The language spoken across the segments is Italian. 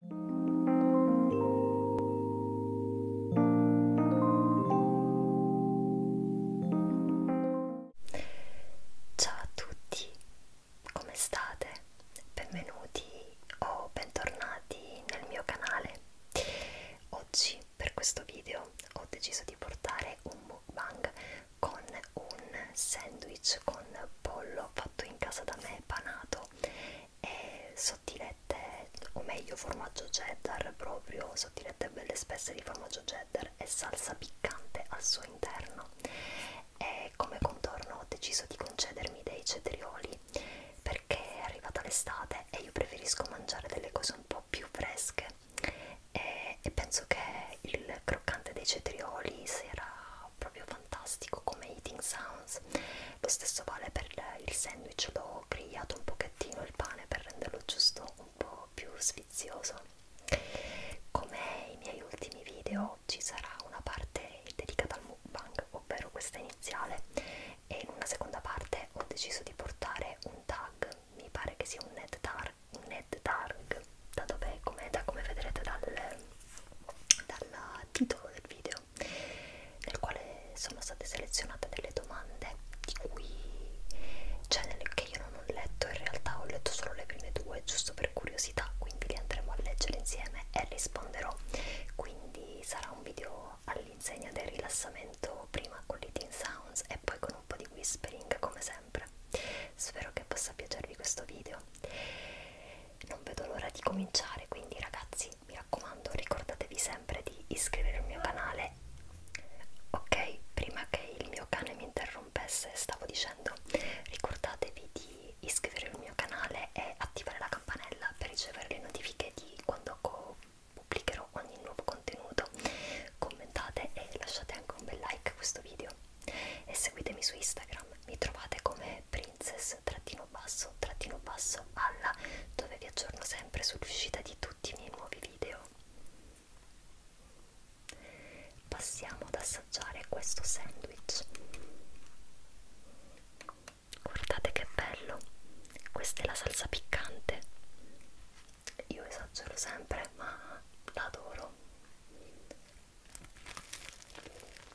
Ciao a tutti, come state? Benvenuti o bentornati nel mio canale. Oggi per questo video ho deciso di portare un mukbang con un sandwich con pollo fatto in casa da me, panato e sottilette, o meglio formaggio cheddar, proprio sottilette belle spesse di formaggio cheddar e salsa piccante al suo interno. E come contorno ho deciso di concedermi dei cetrioli perché è arrivata l'estate e io preferisco mangiare delle cose un po' più fresche e, e penso che il croccante dei cetrioli si era proprio fantastico come eating sounds lo stesso vale per il sandwich l'ho grigliato un pochettino il pane per renderlo giusto un po' più sfizioso come i miei ultimi video ci sarà una parte dedicata al mukbang ovvero questa iniziale e in una seconda parte ho deciso di portare un tag mi pare che sia un net tag un net tag da dove come da come vedrete dal dal titolo del video laboratorio nel quale sono state selezionate delle domande di cui cioè che io non ho letto in realtà ho letto solo le prime due giusto per curiosità quindi le andremo a leggere insieme e risponderò quindi sarà un video all'insegna del rilassamento prima con l'eating sounds e poi con un po' di whispering come sempre spero che possa piacervi questo video non vedo l'ora di cominciare quindi ragazzi mi raccomando ricordatevi sempre di iscrivervi al mio canale ok prima che il mio cane mi interrompesse stavo dicendo ricordatevi di iscrivervi al mio canale e attivare la campanella per ricevere le notifiche di quando pubblicherò ogni nuovo contenuto commentate e lasciate anche un bel like a questo video e seguitemi su Instagram mi trovate come prima princess-alla dove vi aggiorno sempre sull'uscita di tutti i miei nuovi video. Passiamo ad assaggiare questo sandwich. Guardate che bello! Questa è la salsa piccante. Io esagero sempre, ma l'adoro.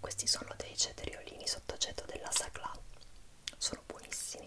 Questi sono dei cetriolini sottogetto della Sacla, sono buonissimi.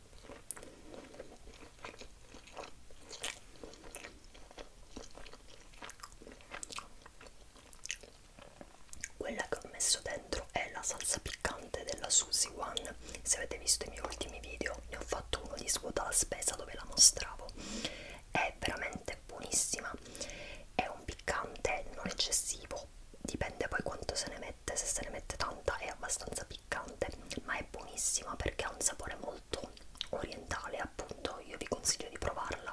Quella che ho messo dentro è la salsa piccante della Suzy One. Se avete visto i miei ultimi video, ne ho fatto uno di svuota la spesa dove la mostravo. È veramente buonissima. È un piccante non eccessivo, dipende poi quanto se ne mette. Se se ne mette tanta, è abbastanza piccante piccante ma è buonissima perché ha un sapore molto orientale appunto io vi consiglio di provarla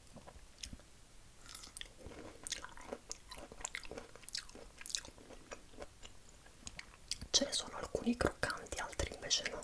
ce ne sono alcuni croccanti altri invece no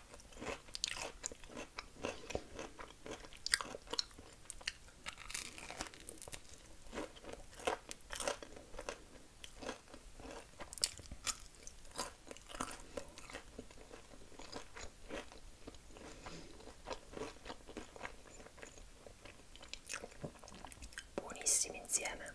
buonissimi insieme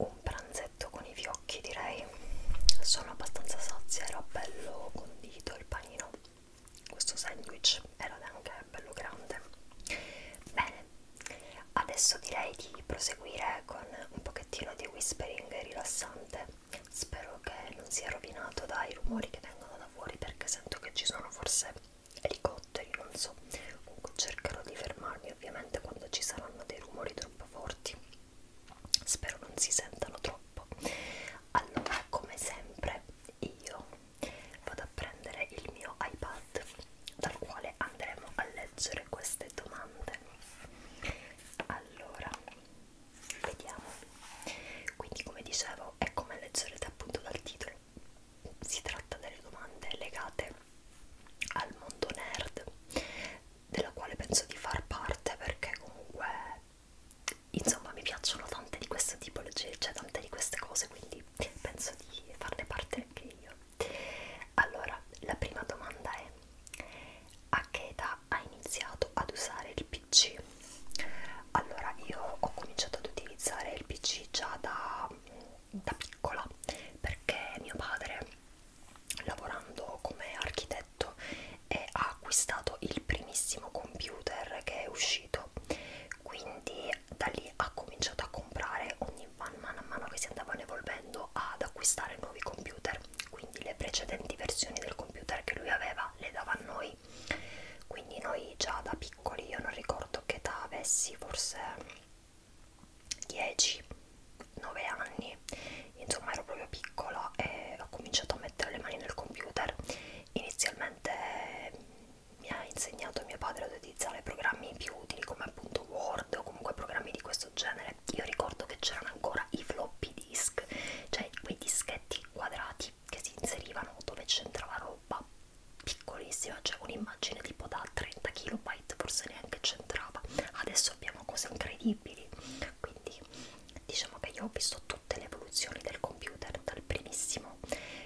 Un pranzetto con i fiocchi direi, sono abbastanza sazia, era bello condito il panino questo sandwich era anche bello grande bene adesso direi di proseguire con un pochettino di whispering rilassante spero che non sia rovinato dai rumori che vengono da fuori perché sento che ci sono forse elicotteri non so comunque cercherò di fermarmi ovviamente quando ci saranno dei rumori troppo forti spero non si sentano troppo allora come sempre io vado a prendere il mio iPad dal quale andremo a leggere queste domande allora vediamo quindi come dicevo è come leggerete appunto dal titolo si tratta delle domande legate al mondo nerd della quale penso di far parte perché comunque insomma mi piacciono tante di queste tipologie, cioè tante di queste cose, quindi penso di farne parte anche io. Allora, la prima domanda è: a che età ha iniziato ad usare il PC? Allora, io ho cominciato ad utilizzare il PC già da, da piccola perché mio padre, lavorando come architetto, letto e ha acquistato il primissimo computer che è uscito quindi da lì ha cominciato a comprare ogni man mano a mano che si andavano evolvendo ad acquistare nuovi computer quindi le precedenti versioni del computer che lui aveva le dava a noi quindi noi già da piccoli io non ricordo che età avessi forse 10 9 anni insomma ero proprio piccola e ho cominciato a mettere le mani nel computer inizialmente mm, mi ha insegnato mio padre ad utilizzare programmi più utili come appunto Word o comunque programmi di questo genere io ricordo che c'erano ancora i floppy disk cioè quei dischetti quadrati che si inserivano dove c'entrava roba piccolissima cioè un'immagine tipo da 30 kilobyte forse neanche c'entrava adesso abbiamo cose incredibili quindi diciamo che io ho visto tutte le evoluzioni del computer dal primissimo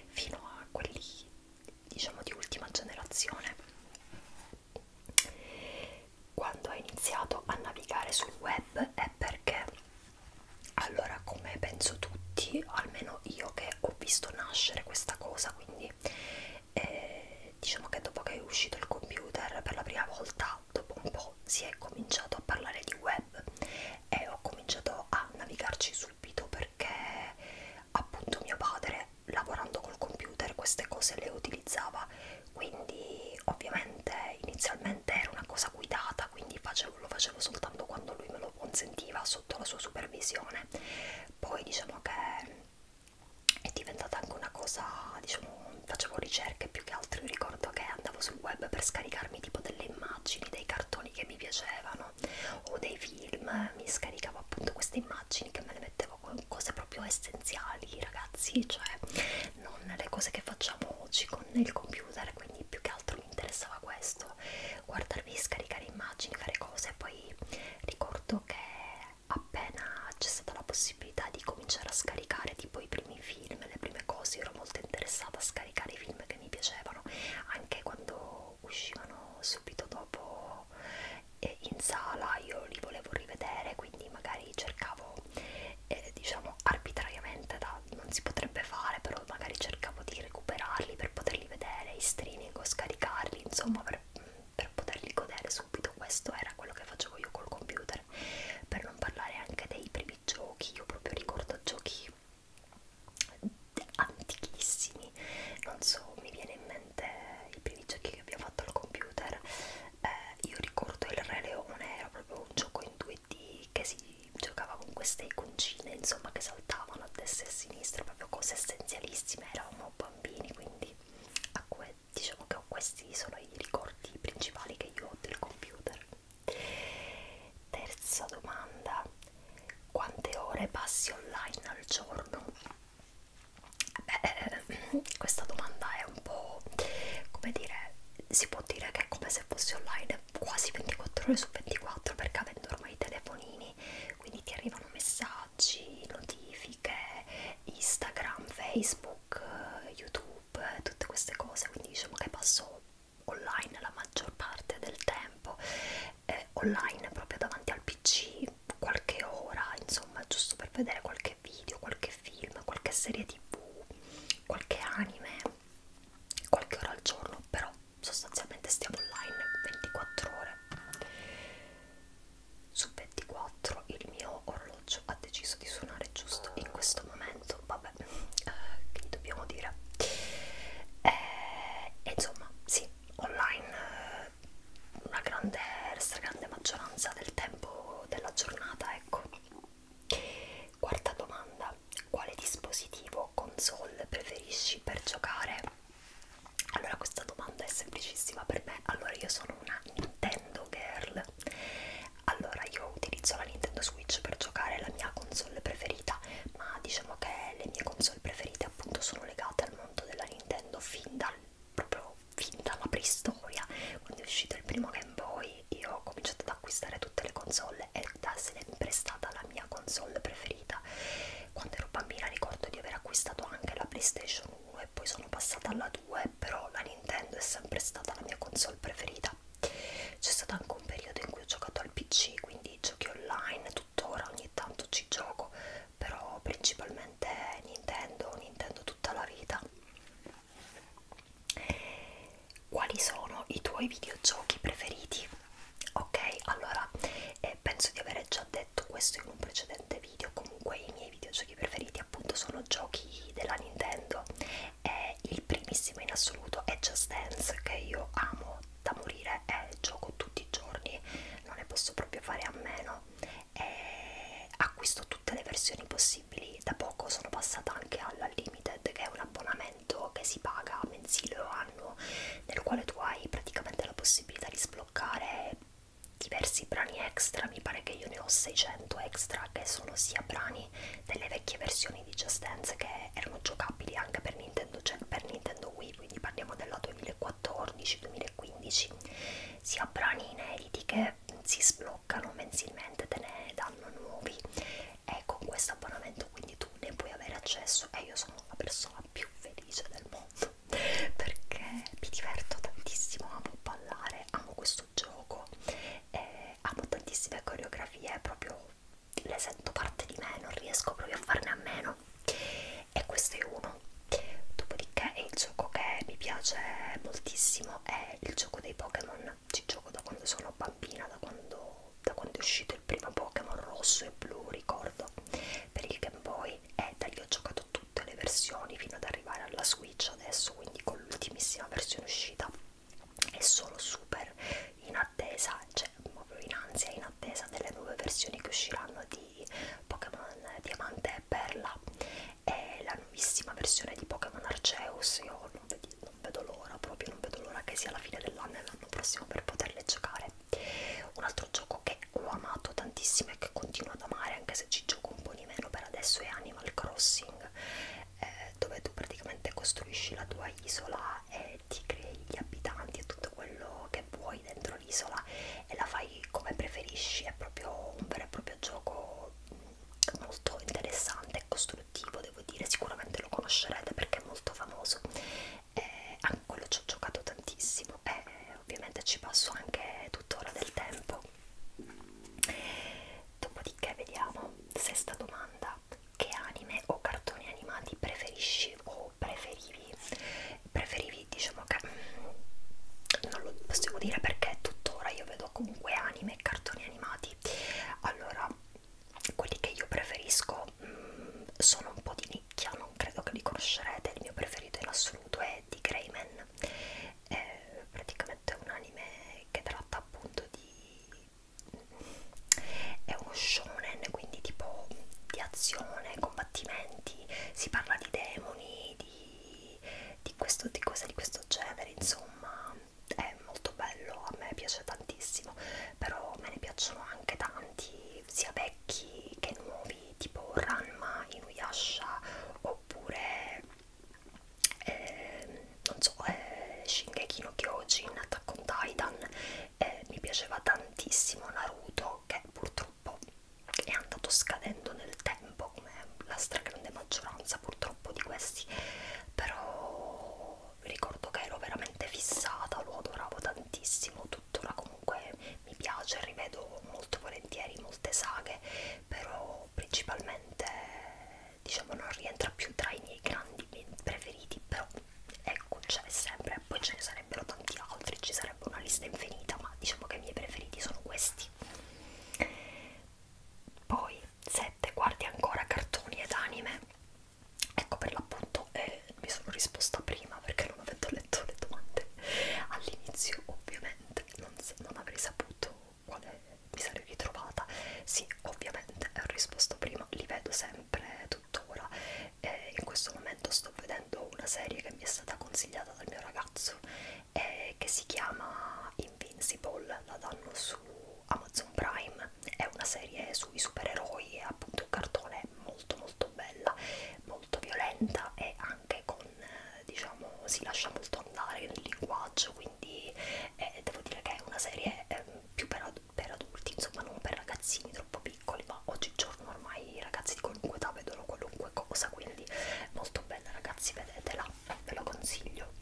fino a quelli diciamo di ultima generazione quando ho iniziato a navigare sul web è perché allora come penso tutti almeno io che ho visto nascere questa cosa quindi eh, diciamo che dopo che è uscito il computer per la prima volta dopo un po' si è cominciato a parlare di web e ho cominciato a navigarci subito perché appunto mio padre lavorando col computer queste cose le utilizzava quindi ovviamente inizialmente era una cosa guidata quindi facevo, lo facevo soltanto quando lui me lo consentiva sotto la sua supervisione poi diciamo che è diventata anche una cosa diciamo facevo ricerche più che altro, io ricordo che andavo sul web per scaricarmi tipo delle immagini, dei cartoni che mi piacevano o dei film, mi scaricavo appunto queste immagini che me le mettevo con cose proprio essenziali ragazzi, cioè non le cose che facciamo oggi con il computer, quindi più che altro mi interessava questo, guardarvi, scaricare immagini, fare cose, poi ricordo che appena c'è stata la possibilità possibilità di cominciare a scaricare tipo i primi film, le prime cose, io ero molto interessata a scaricare i film che mi piacevano, anche quando uscivano subito dopo eh, in sala io li volevo rivedere, quindi magari cercavo, eh, diciamo arbitrariamente, da, non si potrebbe fare, però magari cercavo di recuperarli per poterli vedere in streaming o scaricarli, insomma per, per poterli godere subito, questo era quello che facevo io col computer, per non parlare anche dei primi giochi, io proprio ricordo giochi antichissimi, non so, mi viene in mente i primi giochi che abbiamo fatto al computer, eh, io ricordo il Re Leone, era proprio un gioco in 2D che si giocava con queste iconcine, insomma, che saltavano a destra e a sinistra, proprio cose essenzialissime, eravamo bambini, quindi a diciamo che questi sono i ricordi principali che io ho del computer. Terza domanda, quante ore passi online al giorno? Beh, questa domanda è un po' come dire, si può dire che è come se fossi online quasi 24 ore su 24 perché avendo ormai i telefonini quindi ti arrivano messaggi, notifiche, Instagram, Facebook Facebook, YouTube, tutte queste cose, quindi diciamo che passo online la maggior parte del tempo, eh, online proprio davanti al pc qualche ora, insomma, giusto per vedere qualche video, qualche film, qualche serie tv, qualche anime, qualche ora al giorno, però sostanzialmente stiamo online 24 ore su 24 il mio orologio l'orologio ha deciso di suonare giusto in questo momento vabbè eh, che dobbiamo dire eh, e insomma sì online eh, una grande stragrande maggioranza del tempo della giornata ecco quarta domanda quale dispositivo o console preferisci per giocare allora questa domanda è semplicissima per me allora io sono una Nintendo girl allora, io utilizzo la Nintendo Switch per giocare la mia console preferita, ma diciamo che le mie console preferite appunto sono legate al mondo della Nintendo fin dal proprio fin dalla preistoria. Quando è uscito il primo Game Boy, io ho cominciato ad acquistare tutte le console ed è sempre stata la mia console preferita. Quando ero bambina ricordo di aver acquistato anche la PlayStation 1 e poi sono passata alla 2, però la Nintendo è sempre stata la mia console preferita vita. C'è stato anche un periodo in cui ho giocato al PC, quindi giochi online, tuttora ogni tanto ci gioco, però principalmente Nintendo, Nintendo tutta la vita. Quali sono i tuoi videogiochi preferiti? Ok, allora eh, penso di aver già detto questo in un precedente video, comunque i miei videogiochi preferiti appunto sono giochi della Nintendo eh, il primissimo in assoluto è Just Dance che io amo da morire e eh, gioco tutti i giorni non ne posso proprio fare a meno eh, acquisto tutte le versioni possibili da poco sono passata anche alla Limited che è un abbonamento che si paga mensile o annuo nel quale tu hai praticamente la possibilità di sbloccare diversi brani extra mi pare che io ne ho 600 extra che sono sia brani versioni delle vecchie versioni di Just Dance che erano giocabili anche per Nintendo, cioè per Nintendo Wii quindi parliamo della 2014-2015 sia brani inediti che si sbloccano mensilmente te ne danno nuovi e con questo abbonamento quindi tu ne puoi avere accesso e io sono la persona più felice del mondo perché mi diverto tantissimo amo ballare amo questo questo gioco eh, amo tantissime coreografie proprio le sento parte di me non riesco proprio a farne a meno e questo è uno dopodiché il gioco che mi piace moltissimo è il gioco dei Pokémon ci gioco da quando sono bambina da quando, da quando è uscito il primo Pokémon rosso e blu ricordo per il Game Boy e da lì ho giocato tutte le versioni fino ad arrivare alla Switch adesso quindi con l'ultimissima versione uscita è solo super in attesa, cioè proprio in ansia, in attesa delle nuove versioni che usciranno di Pokémon Diamante e Perla e la nuovissima versione di Pokémon Arceus. Io non, vedi, non vedo l'ora, proprio non vedo l'ora che sia la fine dell'anno e l'anno prossimo per poterle giocare. Un altro gioco che ho amato tantissimo e che continuo ad amare, anche se ci gioco un po' di meno per adesso, è Animal Crossing eh, dove tu praticamente costruisci la tua isola e ti crei gli abitanti e tutto quello che vuoi dentro l'isola e la fai come preferisci, è proprio un vero e proprio gioco molto interessante e costruttivo devo dire, sicuramente lo conoscerete perché è molto famoso eh, e a quello ci ho giocato tantissimo e eh, ovviamente ci passo anche tuttora del tempo Dopodiché vediamo, sesta domanda, che anime o cartoni animati preferisci o preferivi? Preferivi, diciamo che mm, non lo possiamo dire perché tuttora io vedo comunque anime e cartoni animati. Allora, quelli che io preferisco mh, mm, sono un po' di nicchia, non credo che li conoscerete, il mio preferito in assoluto è di Greyman è praticamente un anime che tratta appunto di è uno shonen quindi tipo di azione, combattimenti, si parla di demoni, di, di, questo, di cose di questo genere, insomma è molto bello, a me piace tantissimo, però me ne piacciono anche tanti, sia vecchi che nuovi, tipo Ranma, Inuyasha, oppure eh, non so, eh, Shingeki no Kyojin, Attack on Titan, eh, mi piaceva tantissimo Naruto che purtroppo è andato scadendo nel tempo come la stragrande maggioranza purtroppo di questi, però ricordo che ero veramente fissata, lo adoravo tantissimo, tuttora comunque mi piace, rivedo molto volentieri molte saghe, però principalmente diciamo non rientra più tra i miei grandi preferiti però ecco c'è sempre poi ce ne sarebbero tanti altri ci sarebbe una lista infinita ma diciamo che i miei preferiti sono questi poi 7 guardi ancora cartoni ed anime ecco per l'appunto eh, mi sono risposta prima perché non avendo letto le domande all'inizio ovviamente non, non avrei saputo quale mi sarei ritrovata. Sì, ovviamente ho risposto prima, li vedo sempre tuttora. E in questo momento sto vedendo una serie che mi è stata consigliata dal mio ragazzo eh, che si chiama Invincible, la danno su Amazon Prime, è una serie sui supereroi, è appunto un cartone molto molto bella, molto violenta e anche con, eh, diciamo, si lascia molto andare nel linguaggio, quindi quindi eh, devo dire che è una serie eh, più per, ad per adulti, insomma non per ragazzini troppo piccoli, ma oggigiorno ormai i ragazzi di qualunque età vedono qualunque cosa, quindi molto bella ragazzi, vedetela, ve lo consiglio.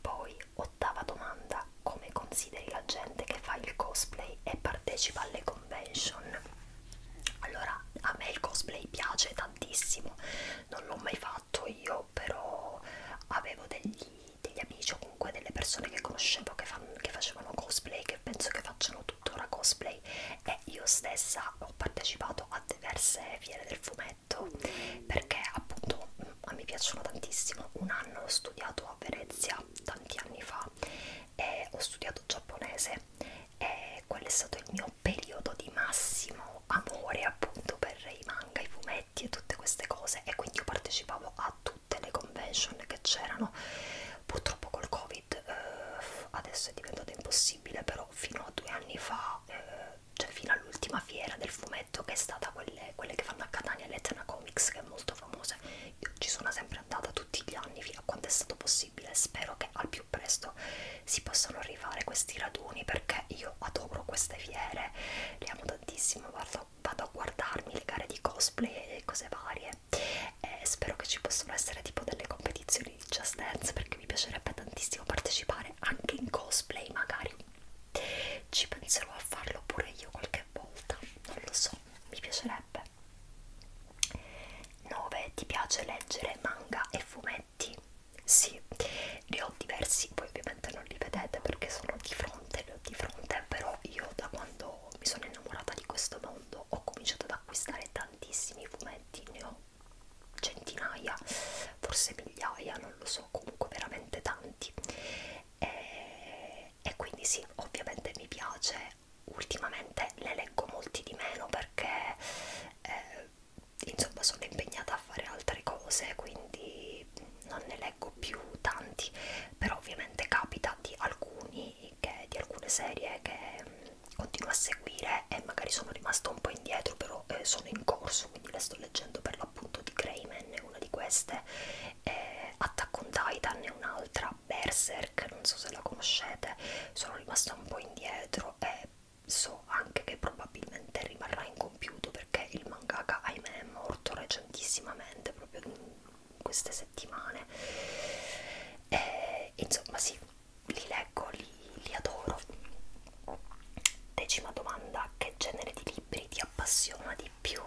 Poi, ottava domanda, come consideri la gente che fa il cosplay e partecipa alle convention? Allora, a me il cosplay piace tantissimo, non l'ho mai fatto fatto io, però avevo degli, degli amici o comunque delle persone che conoscevo che, fan, che facevano cosplay, che penso che facciano tuttora cosplay e io stessa ho partecipato a diverse fiere del fumetto perché appunto mm, a me piacciono tantissimo. Un anno ho studiato a Venezia tanti anni fa e ho studiato giapponese e quello è stato il mio periodo di massimo diciamo amore appunto per i manga, i fumetti e tutte queste cose e quindi io partecipavo a tutte le convention che c'erano purtroppo col covid eh, adesso è diventato impossibile però fino a due anni fa eh, cioè fino all'ultima fiera del fumetto che è stata quelle, quelle che fanno a Catania l'Etna Comics che è molto famosa io ci sono sempre andata tutti gli anni fino a quando è stato possibile spero che al più presto si possano arrivare questi raduni perché io adoro queste fiere, le amo tantissimo, guardo, vado a guardarmi le gare di cosplay e cose varie e spero che ci possano essere tipo delle competizioni di Just Dance perché mi piacerebbe tantissimo partecipare anche in cosplay magari ci penserò a farlo pure io qualche volta, non lo so, mi piacerebbe 9. Ti piace leggere manga e fumetti? oggetti sì ne ho diversi poi ovviamente non li vedete perché sono di fronte li ho di fronte però io da quando mi sono innamorata di questo mondo ho cominciato ad acquistare tantissimi fumetti ne ho centinaia forse migliaia non lo so comunque veramente tanti e, e quindi sì ovviamente mi piace ultimamente ne leggo molti di meno perché eh, insomma sono impegnata a fare altre cose quindi non ne leggo più tanti però ovviamente capita di alcuni che, di alcune serie che mh, mm, continuo a seguire e magari sono rimasta un po' indietro però eh, sono in corso quindi le sto leggendo per l'appunto di Greyman è una di queste eh, Attack on Titan è un'altra Berserk non so se la conoscete sono rimasta un po' indietro e so anche che probabilmente rimarrà incompiuto perché il mangaka ahimè è morto recentissimamente proprio in queste settimane e, insomma sì li leggo li, li adoro decima domanda che genere di libri ti appassiona di più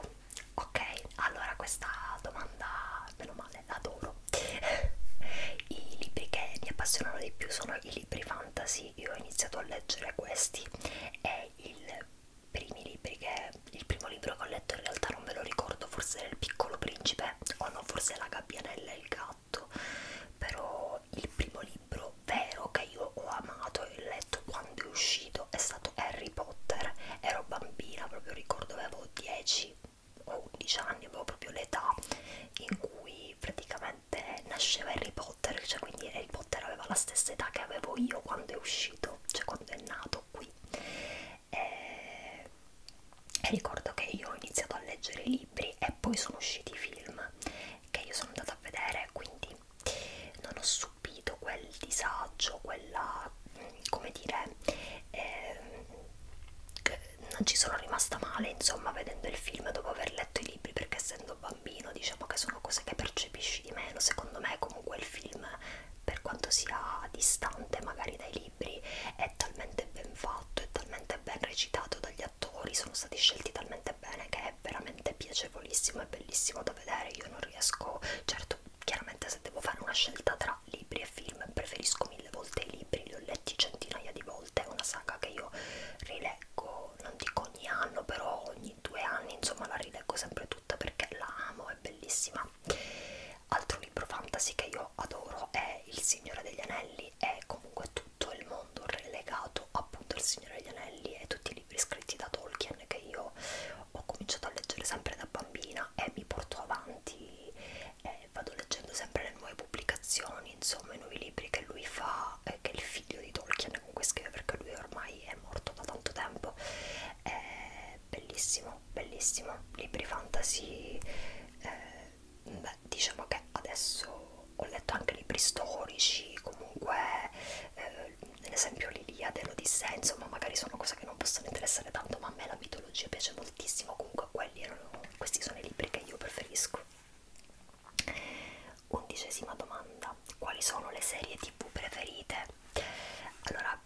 ok allora questa domanda meno male adoro i libri che mi appassionano di più sono i libri fantasy quindi io ho iniziato a leggere questi e il primi libri che il primo libro che ho letto in realtà non me lo ricordo forse era il piccolo principe o no forse la gabbianella e il gatto però il primo libro vero che io ho amato e ho letto quando è uscito è stato Harry Potter ero bambina proprio ricordo avevo 10 o 11 anni avevo proprio l'età in cui praticamente 2007 nasceva Harry Potter, cioè quindi Harry Potter aveva la stessa età che avevo io quando è uscito, cioè quando è nato qui. E... E ricordo che io ho iniziato a leggere i libri e poi sono usciti i film che io sono andata a vedere, quindi non ho subito quel disagio, quella, come dire, eh, non ci sono rimasta male insomma vedendo il film dopo aver letto i libri perché essendo bambino diciamo che sono cose che percepisci di meno secondo me comunque il film per quanto sia distante magari dai libri è talmente ben fatto è talmente ben recitato dagli attori sono stati scelti talmente bene che è veramente piacevolissimo e bellissimo da vedere io non riesco certo chiaramente se devo fare una scelta tra libri e film preferisco mille volte i libri li ho letti centinaia di volte è una saga che io rileggo, ecco, non dico ogni anno, però ogni due anni, insomma, la rileggo sempre tutta perché la amo, è bellissima. Altro libro fantasy che io adoro è Il Signore degli Anelli, è comunque tutto il mondo relegato appunto al Signore degli Anelli e tutti i libri scritti da Tolkien che io ho cominciato a leggere sempre da bambina e mi porto avanti, eh, vado leggendo sempre le nuove pubblicazioni Tolkien, insomma i nuovi libri che lui fa, eh, che il figlio di Tolkien comunque scrive perché lui ormai è morto da tanto tempo, è bellissimo, bellissimo, libri fantasy, eh, beh, diciamo che adesso ho letto anche libri storici, comunque eh, ad esempio l'Iliade, l'Odissea, insomma magari sono cose che non possono interessare tanto, ma a me la mitologia piace moltissimo, comunque quelli erano, questi sono i libri che io preferisco. Undicesima domanda: quali sono le serie tv preferite? Allora,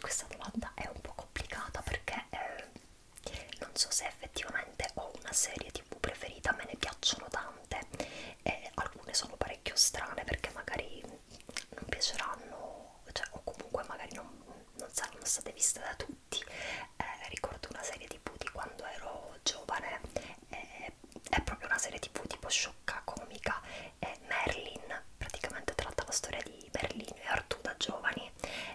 questa domanda è un po' complicata perché eh, non so se effettivamente ho una serie tv preferita, me ne piacciono tante e alcune sono parecchio strane perché magari non piaceranno, cioè, o comunque magari non, non saranno state viste da tutti tutti eh, ricordo una serie tv di quando ero giovane eh, è proprio una serie tv tipo sciocca comica eh, Merlin praticamente tratta la storia di Berlino e Artù da giovani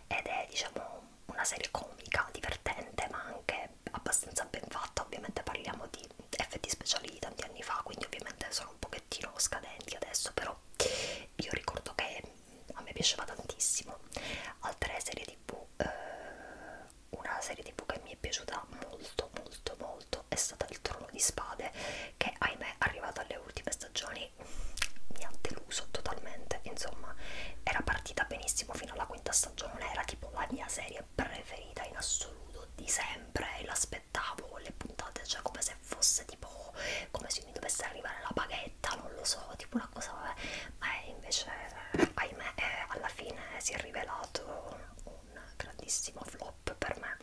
ed è diciamo una serie comica divertente ma anche abbastanza ben fatta ovviamente parliamo di effetti speciali di tanti anni fa quindi ovviamente sono un pochettino scadenti adesso però io ricordo che a me piaceva tantissimo altre serie tv tv eh, una serie tv che mi è piaciuta molto molto molto è stata il trono di spade che ahimè arrivato alle ultime stagioni mi ha deluso totalmente insomma era partita benissimo fino alla quinta stagione era tipo la mia serie preferita in assoluto di sempre e l'aspettavo con le puntate cioè come se fosse tipo come se mi dovesse arrivare la baghetta non lo so tipo una una cosa, ma invece ahimè è, eh, alla fine si è rivelato un grandissimo flop per me,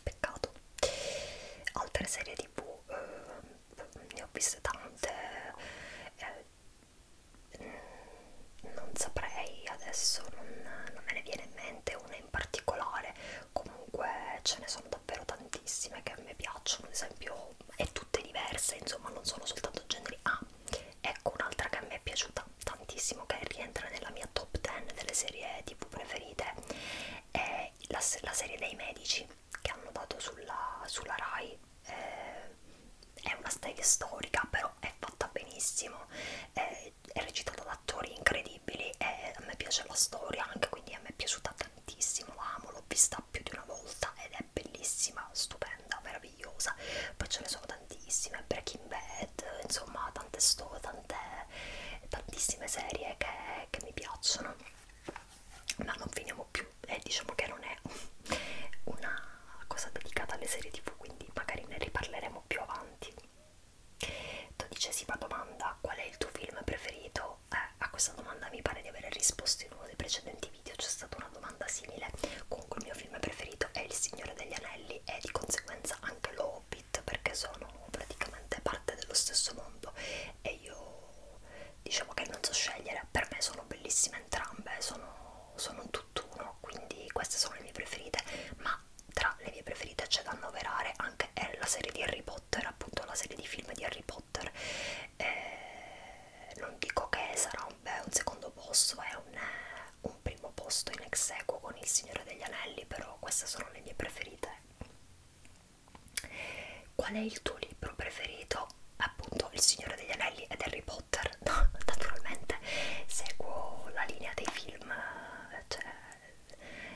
peccato. Altre serie tv eh, ne ho viste tante, eh, mm, non saprei adesso, non, non me ne viene in mente una in particolare, comunque ce ne sono davvero tantissime che a me piacciono, ad esempio e tutte diverse, insomma, non sono soltanto generi. Ah, ecco un'altra che a me è piaciuta tantissimo, che rientra nella mia top 10 delle serie tv preferite, è la, la serie dei medici che hanno dato sulla, sulla Rai. Eh, è una serie storica, però è fatta benissimo, è, è recitata da attori incredibili e a me piace la storia anche, quindi a me è piaciuta tantissimo, l'amo, lo l'ho vista più di una volta ed è bellissima, stupenda, meravigliosa. Poi ce ne sono tantissime, Breaking Bad, insomma, tante storie, tante, tantissime serie che, che mi piacciono. Ma non finiamo più e eh, diciamo che non è una cosa dedicata alle serie tv, quindi magari ne riparleremo più avanti. Dodicesima domanda: qual è il tuo film preferito? Eh, a questa domanda mi pare di aver risposto in uno dei precedenti video, c'è stata una domanda simile. Comunque il mio film preferito è Il Signore degli Anelli e di conseguenza anche lo Hobbit perché sono praticamente parte dello stesso mondo e io diciamo che non so scegliere, per me sono bellissime entrambe, sono, sono un tutt'uno, quindi queste sono le mie preferite, ma tra le mie preferite c'è da annoverare anche la serie di Harry Potter, appunto la serie di film di Harry Potter eh, non dico che sarà un, beh, un secondo posto, è un, un primo posto in ex equo con Il Signore degli Anelli, però queste sono le mie preferite. Qual è il tuo libro preferito? Appunto Il Signore degli Anelli ed Harry Potter, no, naturalmente seguo la linea dei film, eh, cioè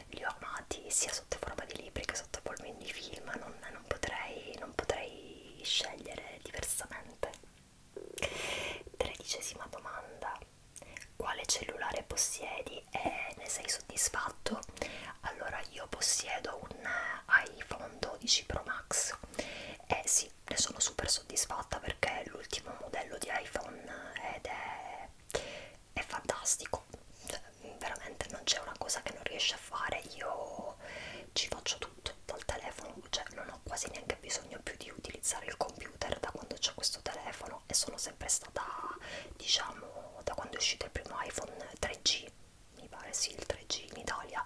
li ho amati sia sotto forma di libri che anche sottopormi di film, non, non, potrei, non potrei scegliere diversamente. Tredicesima domanda: quale cellulare possiedi e ne sei soddisfatto? Allora, io possiedo un iPhone 12 Pro Max e eh, sì, ne sono super soddisfatta perché è l'ultimo modello di iPhone ed è, è fantastico. Cioè, veramente non c'è una cosa che non riesce a fare, io ci faccio tutto dal telefono, cioè non ho quasi neanche bisogno più di utilizzare il computer da quando ho questo telefono e sono sempre stata, diciamo, da quando è uscito il primo iPhone 3G, mi pare sì il 3G in Italia,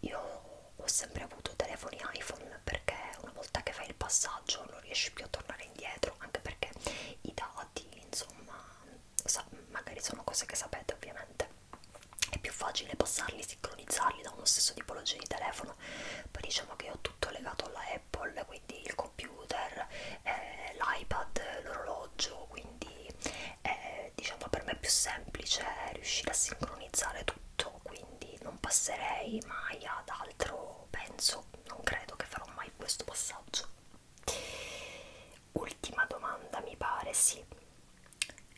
io ho sempre avuto telefoni iPhone perché una volta che fai il passaggio non riesci più a tornare indietro, anche perché i dati, insomma, magari sono cose che sapete ovviamente, è più facile passarli, sincronizzarli da uno stesso tipologia di telefono, poi diciamo che ho tutto legato alla Apple, quindi il computer, eh, l'iPad, l'orologio, quindi eh, diciamo per me è più semplice riuscire a sincronizzare tutto, quindi non passerei mai ad altro, penso, non credo che farò mai questo passaggio. Ultima domanda mi pare, sì.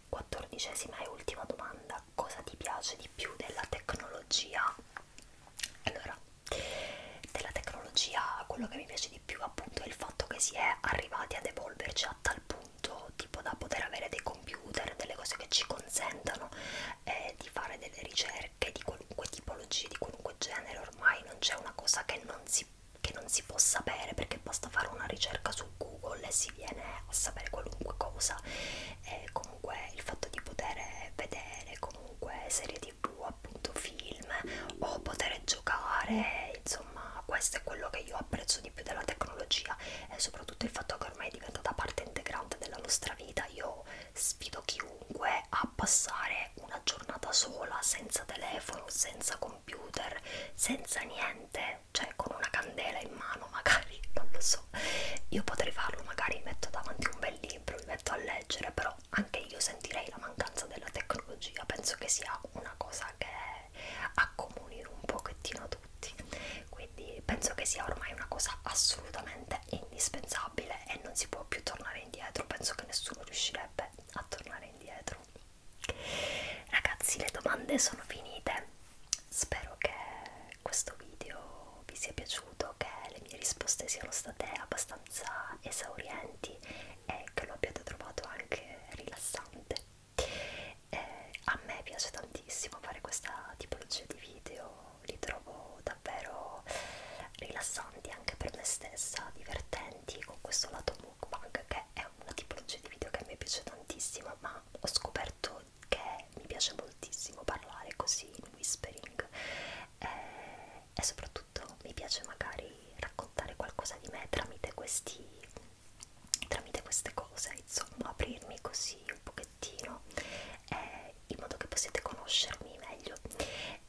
Quattordicesima e ultima domanda, cosa ti piace di più della tecnologia? Allora, della tecnologia quello che mi piace di più appunto è il fatto che si è arrivati ad evolverci a tal punto tipo da poter avere dei computer, delle cose che ci consentano eh, di fare delle ricerche di qualunque tipologia, di qualunque genere, ormai non c'è una cosa che non si che non si può sapere perché basta fare una ricerca su Google e si viene a sapere qualunque cosa e comunque il fatto di poter vedere comunque serie tv appunto film o poter giocare insomma questo è quello che io apprezzo di più della tecnologia e soprattutto il fatto che ormai è diventata parte integrante della nostra vita io sfido chiunque a passare una giornata sola senza telefono senza computer computer senza niente cioè con una candela in mano magari non lo so io potrei farlo magari mi metto davanti un bel libro mi metto a leggere però anche io sentirei la mancanza della tecnologia penso che sia una cosa che accomuni un pochettino tutti quindi penso che sia ormai una cosa assolutamente indispensabile e non si può più tornare indietro penso che nessuno riuscirebbe a tornare indietro Ragazzi, le domande sono finite. Spero che questo video vi sia piaciuto, che le mie risposte siano state abbastanza esaurienti e che lo abbiate trovato anche rilassante. Eh, a me piace tantissimo fare questa tipologia di video, li trovo davvero rilassanti anche per me stessa, divertenti, con questo lato mukbang che è, è una tipologia di video che mi piace tantissimo, ma ho scoperto che mi piace moltissimo parlare così in whispering eh, e soprattutto mi piace magari raccontare qualcosa di me tramite questi tramite queste cose, insomma, aprirmi così un pochettino eh, in modo che possiate conoscermi meglio.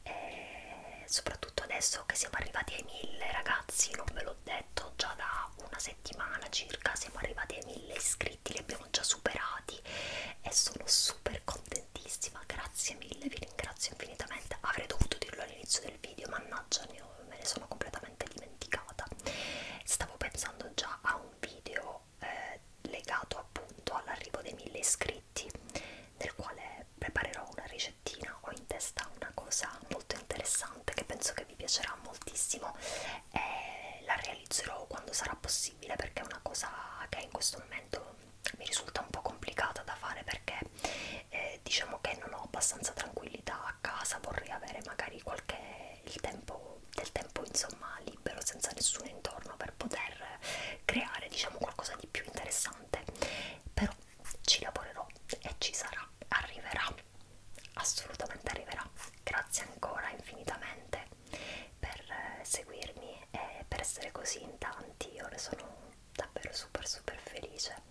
E eh, soprattutto adesso che siamo arrivati ai mille, ragazzi, non ve lo l'ho detto già da una settimana circa siamo arrivati ai 1000 iscritti li abbiamo già superati e sono super contentissima grazie mille vi ringrazio infinitamente avrei dovuto dirlo all'inizio del video mannaggia me ne sono completamente dimenticata stavo pensando già a un video eh, legato appunto all'arrivo dei 1000 iscritti nel quale preparerò una ricettina ho in testa una cosa molto interessante stampante che penso che vi piacerà moltissimo e eh, la realizzerò quando sarà possibile perché è una cosa che in questo momento mi risulta un po' complicata da fare perché eh, diciamo che non ho abbastanza tranquillità a casa vorrei avere magari qualche il tempo del tempo insomma libero senza nessuno intorno per poter creare diciamo qualcosa di più interessante però ci lavorerò e ci sarà, arriverà, assolutamente arriverà. Grazie ancora infinitamente per eh, seguirmi e per essere così in tanti, io ne sono davvero super super felice.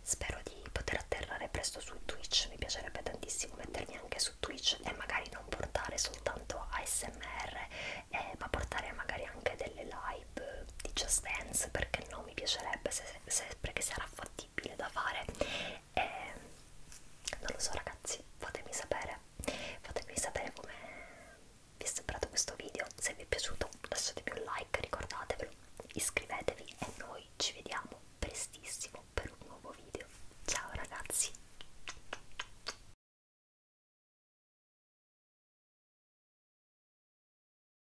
Spero di poter atterrare presto su Twitch, mi piacerebbe tantissimo mettermi anche su Twitch e magari non portare soltanto ASMR, eh, ma portare magari anche delle live di Just Dance, perché no, mi piacerebbe se se, sempre che sarà fattibile da fare e non lo so ragazzi fatemi sapere fatemi sapere come vi è sembrato questo video se vi è piaciuto lasciatemi un like ricordatevelo iscrivetevi e noi ci vediamo prestissimo per un nuovo video ciao ragazzi